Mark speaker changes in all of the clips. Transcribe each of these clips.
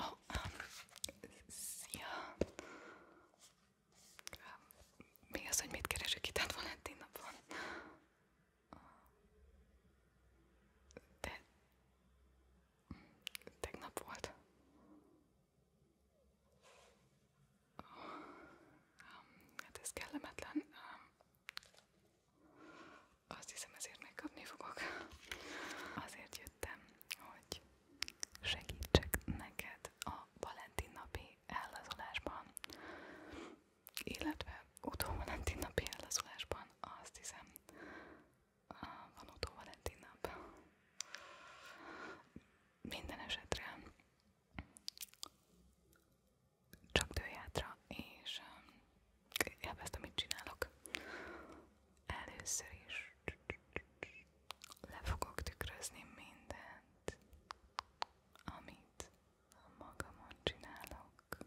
Speaker 1: Oh, um, szia! Mi az, hogy mit keresek itt Advalentin hát napon? Te...
Speaker 2: Tegnap volt. Um, hát ez kellemetlen. Um, azt hiszem ezért megkapni fogok. Azért jöttem, hogy segítsek neked a Valentin napi ellazulásban. Illetve utó Valentin napi ellazulásban azt hiszem uh, van utó Valentin nap. Minden esetre csak dőjátra, és um, elvesztem, mit csinálok. Először is le fogok tükrözni mindent, amit a magamon csinálok.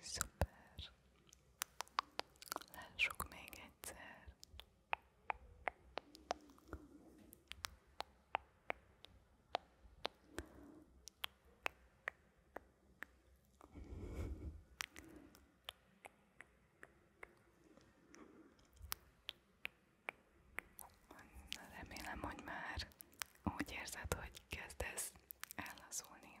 Speaker 2: Szuper, szuper, lássuk még egyszer. Remélem, hogy már úgy érzed, hogy kezdesz ellazulni.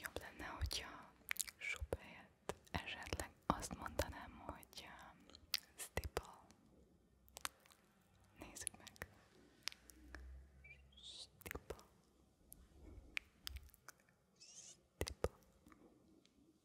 Speaker 2: Jobb lenne, hogyha sup helyett esetleg azt mondanám, hogy stipple. Um, Nézzük meg. Stipple. Stipple.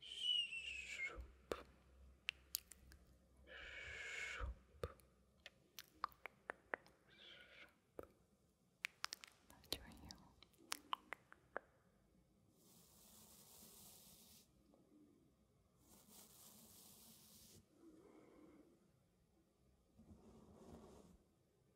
Speaker 2: Shoop. Shoop. Shoop. Not your heel. Shoop.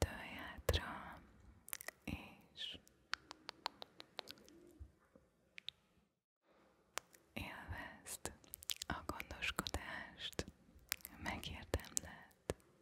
Speaker 2: Tölj hátra, és élvezd a gondoskodást, megérdemled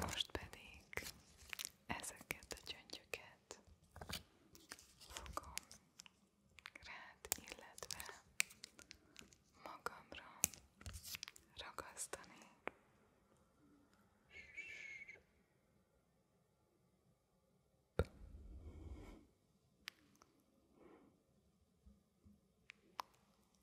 Speaker 2: Most pedig ezeket a gyöngyöket fogom rád, illetve magamra ragasztani.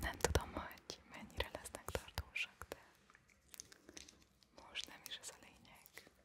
Speaker 2: Nem tudom, hogy mennyire lesznek tartósak, de most nem is ez a lényeg.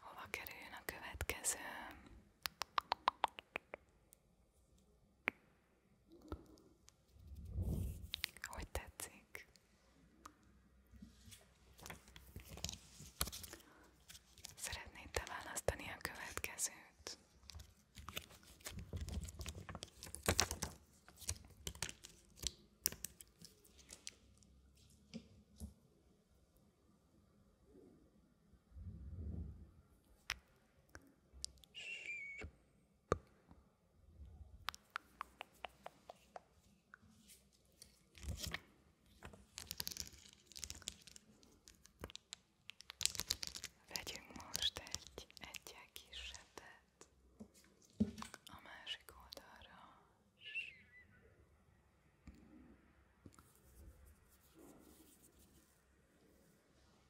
Speaker 2: Hova kerüljön a következő? Hogy tetszik? Szeretnéd te választani a következőt? Vegyünk most egy egyel kisebbet a másik oldalra.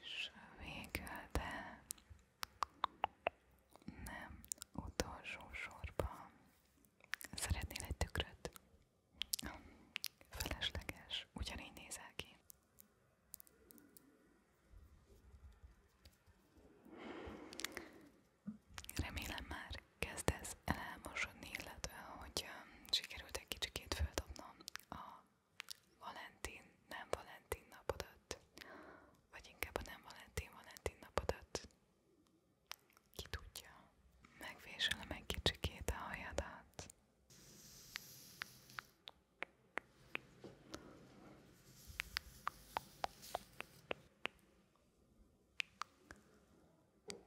Speaker 2: És végül, de nem utolsó sorban szeretnél egy tükröt? Felesleges, ugyanígy nézel ki. Remélem már kezdesz elmosodni, illetve hogy sikerült egy kicsikét földobnom a a Valentin, nem Valentin napodat, vagy inkább a nem Valentin, Valentin napodat. Ki tudja, megvésülöm egy kicsikét a hajadat.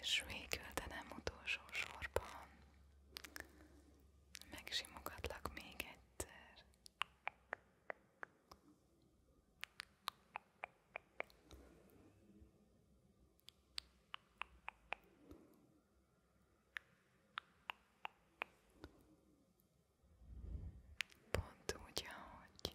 Speaker 3: És végül, de nem utolsó sorban megsimogatlak még egyszer. Pont úgy, ahogy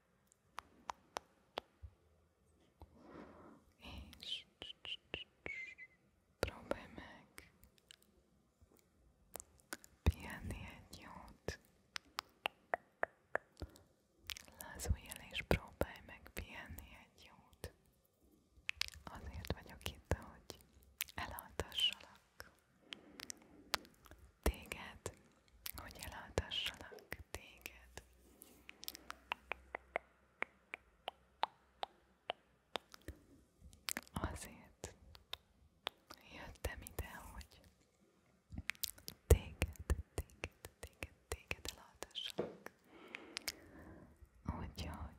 Speaker 3: és próbálj meg pihenni egy jót. Lazulj el és próbálj meg pihenni egy jót. Azért vagyok itt, hogy elhaltassalak téged, hogy elhaltassalak meg téged. Azért jöttem ide, hogy téged, téged, téged, téged elhallgassak. Úgyhogy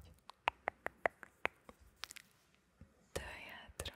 Speaker 3: tölj átra,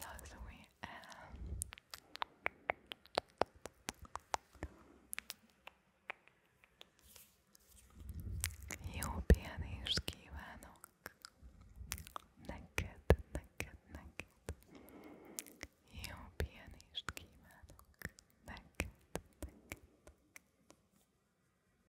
Speaker 3: Lazulj el. Jó pihenést kívánok neked, neked, neked. Jó pihenést kívánok neked, neked.